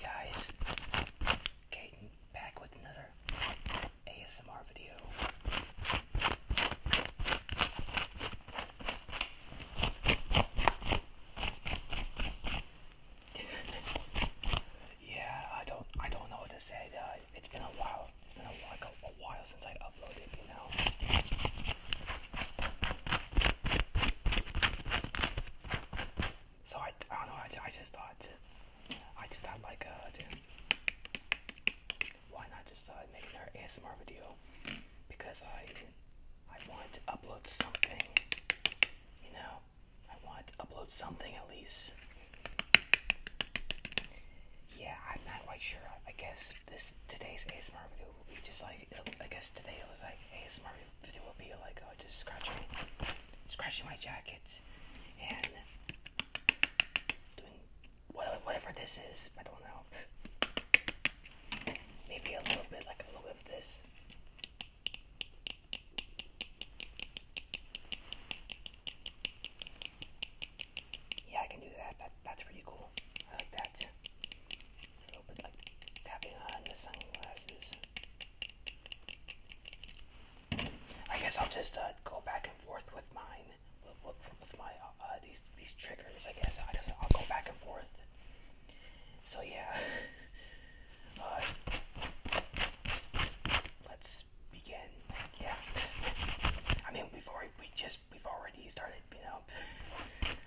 guys, Caden back with another ASMR video. yeah, I don't I don't know what to say. Uh, uh, it's been a while. It's been a, like a, while since I uploaded, you know. So I, don't know. I, just thought, I just thought like, uh, dude, why not just start uh, making another ASMR video? Because I, I wanted to upload something, you know. I want to upload something at least. Yeah, I'm not quite sure. I guess this today's ASMR video will be just like I guess today it was like ASMR video will be like uh, just scratching, scratching my jacket, and doing whatever this is. I don't know. Maybe a little bit like a little of this. Yeah, I can do that. that's pretty cool. I like that. a little bit like tapping on the sunglasses. I guess I'll just uh, go back and forth with mine, with, my uh, uh, these these triggers. I guess I guess I'll go back and forth. So yeah, let's begin. Yeah. I mean, we we just we've already started. You know.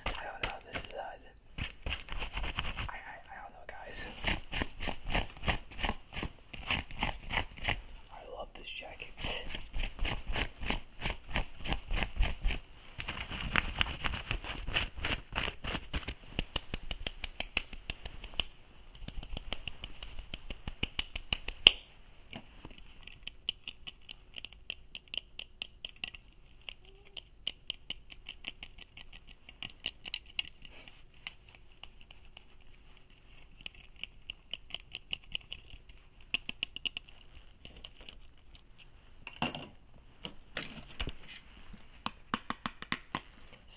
I don't know. This is uh, I, I don't know, guys. I love this jacket.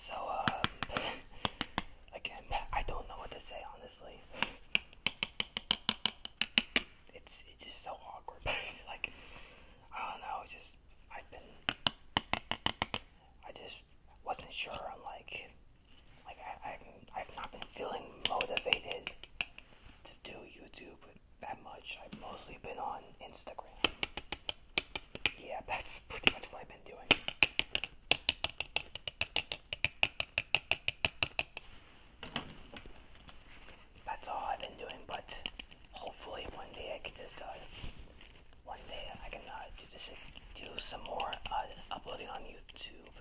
So, um, again, I don't know what to say on this. It's it's just so awkward. it's like I don't know. Just I've been I just wasn't sure. I'm like like I I've, I've not been feeling motivated to do YouTube that much. I've mostly been on Instagram. Yeah, that's pretty much what I've been doing. That's all I've been doing, but hopefully one day I can just, uh, one day I can uh, do, this, do some more uh, uploading on YouTube.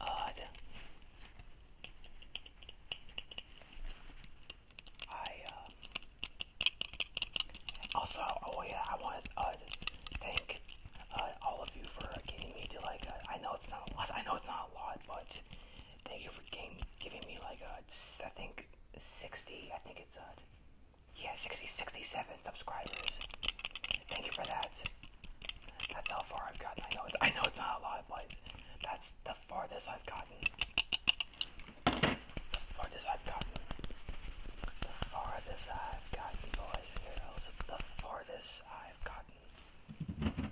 Uh, I, um, also, oh yeah, I want to uh, thank uh, all of you for getting me to like. Uh, I know it's not a lot. I know it's not a lot, but thank you for game, giving me like uh, I think 60. I think it's uh, yeah, 60, 67 subscribers. Thank you for that. That's how far I've gotten. I know it's I know it's not a lot, but that's the farthest I've gotten. The farthest I've gotten. farthest I've gotten, boys and girls. The farthest I've gotten.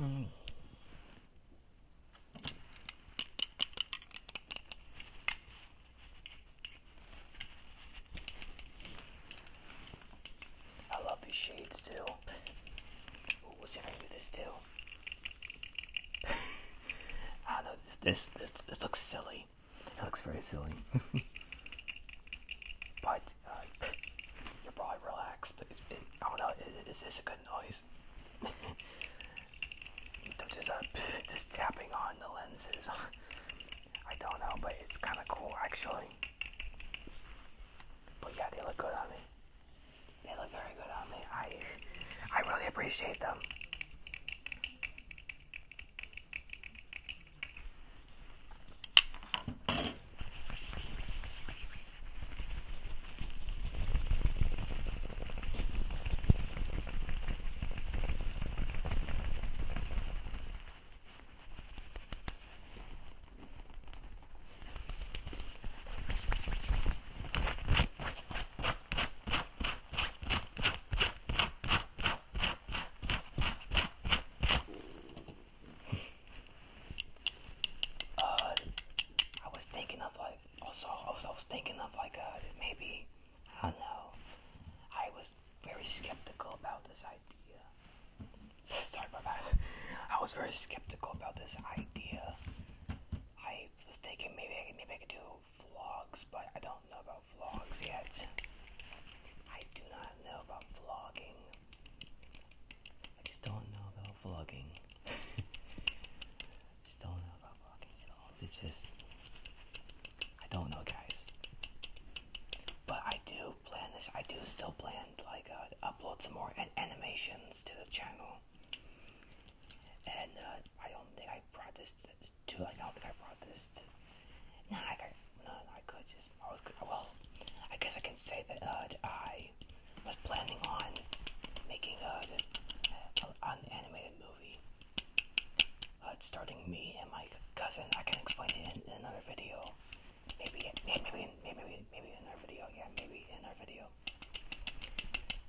Mm. I love these shades too. Ooh, what's gonna do this too? I don't know. This this this, looks silly. It looks very silly. but uh, you're probably relaxed. please. it, I don't know. Is this a good noise? Uh, just tapping on the lenses. I don't know, but it's kind of cool actually. But yeah, they look good on me. They look very good on me. I, I really appreciate them. Uh, I was thinking of like also, also I was thinking of like a uh, maybe I don't know. I was very skeptical about this idea. Sorry about that. I was very skeptical about this idea. I was thinking maybe I could, maybe I could do vlogs, but I don't know about vlogs yet. I do not know about vlogging. I just don't know about vlogging. just don't know about vlogging at all. It's just I don't know, guys. But I do plan this. I do still plan like uh, upload some more an animations to the channel. And uh, I don't think I brought this to. Like, I don't think I brought this. To, no, I could, just. I Well, I guess I can say that uh, I was planning on making uh, an animated movie uh, it's starting me and my cousin. I can explain it in, in another video. Maybe, maybe, maybe, maybe, maybe in our video. Yeah, maybe in our video.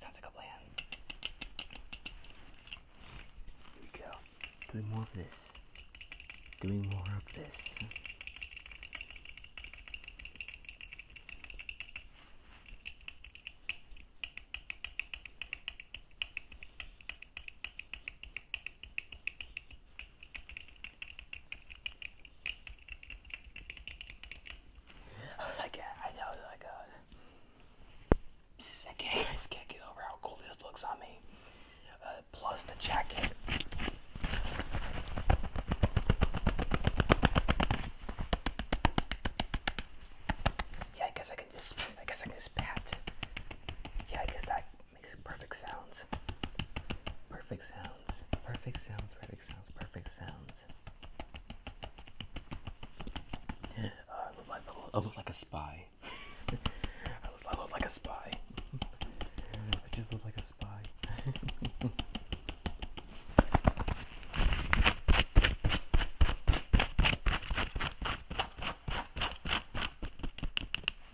Sounds like a plan. Here we go. Doing more of this. Doing more of this like, I know, uh, I can't, I can't get over how cool this looks on me. Uh, plus the jacket. Yeah, I guess I can just, I guess I can just pat. Yeah, I guess that makes perfect sounds. Perfect sounds. Perfect sounds. Perfect sounds. Perfect sounds. Uh, I, look like, I look like a spy. I, look, I look like a spy. I just look like a spy.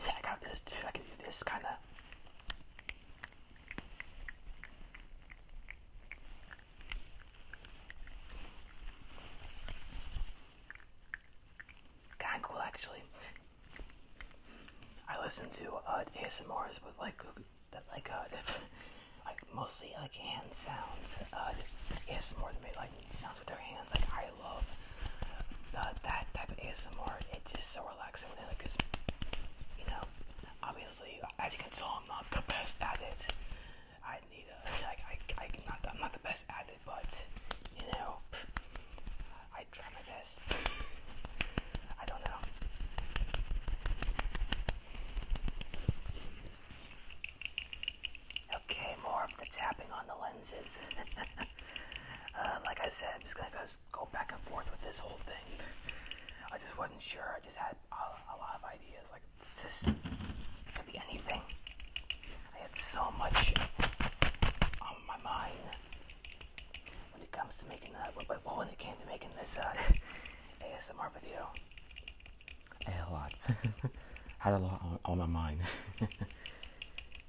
Yeah, I got this too. I can do this kind of. Kind of cool, actually. I listen to uh, ASMRs but like like uh, like mostly like hand sounds. Uh, more than me, like sounds with their hands. Like I love that type of ASMR. It's just so relaxing like because you know, obviously, as you can tell, I'm not the best at it. I need a like I not I'm not the best at it, but you know, I try my best. I don't know. Okay, more of the tapping on the lenses. Uh, like I said, I'm just gonna go, back and forth with this whole thing. I just wasn't sure. I just had a, lot of ideas. Like, this could be anything. I had so much on my mind when it comes to making that. when it came to making this uh, ASMR video, a lot. had a lot on my mind.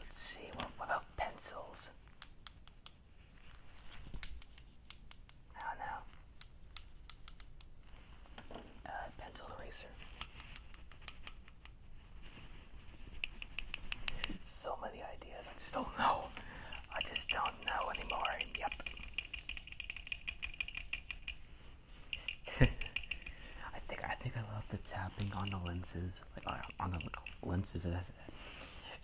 Let's see, what, about pencils? Oh no. Uh, pencil eraser. So many ideas, I just don't know. I just don't know anymore. Yep. I think I think I love the tapping on the lenses, like on the lenses. It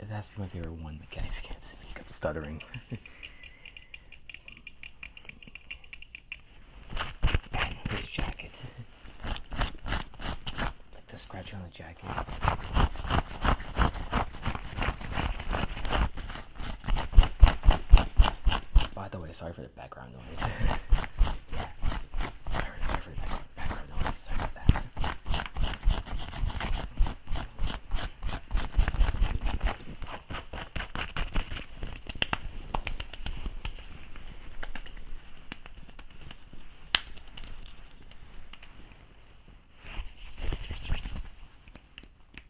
has, to be my favorite one. The guy's can't speak. I'm stuttering. his jacket, like the scratching on the jacket. By the way, sorry for the background noise. yeah. Sorry, sorry for the back background noise. Sorry about that.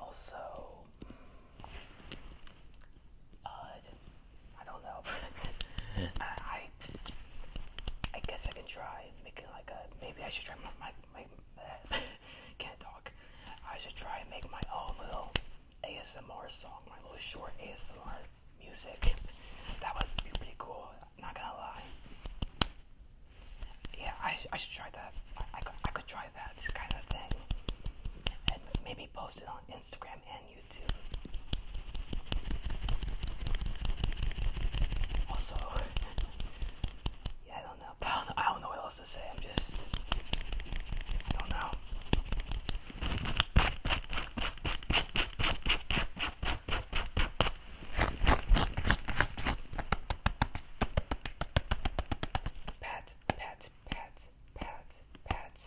Also, uh, I don't know. I, I, guess I can try making like a. Maybe I should try my. my can't talk. I should try and make my own little ASMR song, my little short ASMR music. That would be pretty cool. Not gonna lie. Yeah, I, I should try that. I, could, I could try that kind of thing, and maybe post it on Instagram and YouTube. Also, yeah, I don't know, what else to say. I'm just. don't know. Pat, pat, pat, pat, pat.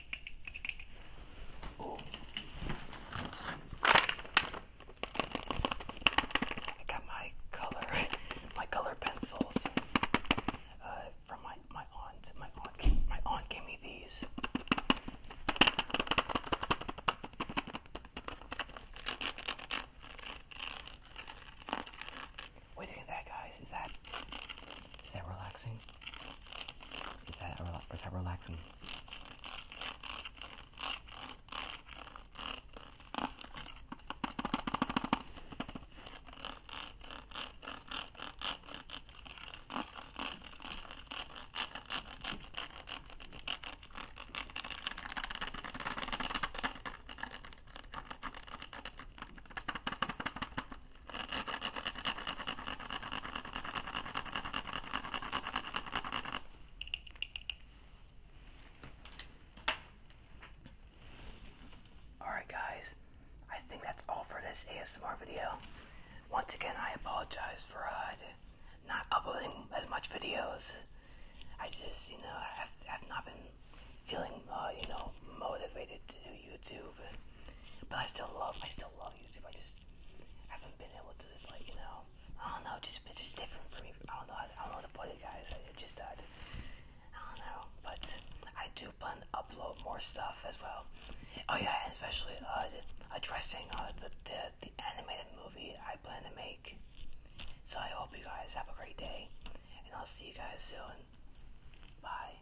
Oh. I got my color, my color pencils uh, from my my aunt. My aunt, gave, my aunt gave me these. What do you that, guys? Is that is that relaxing? relaxing? Is that, is that relaxing? Alright, guys, I think that's all for this ASMR video. Once again, I apologize for uh, not uploading as much videos. I just, you know, i have not been feeling, uh, you know, motivated to do YouTube. But I still love, I still love YouTube. I just, haven't been able to like you know I don't know just it's just different for me I don't know I, I don't know what to guys I it just I don't know but I do plan to upload more stuff as well oh yeah and especially uh, addressing uh, the, the the animated movie I plan to make so I hope you guys have a great day and I'll see you guys soon bye.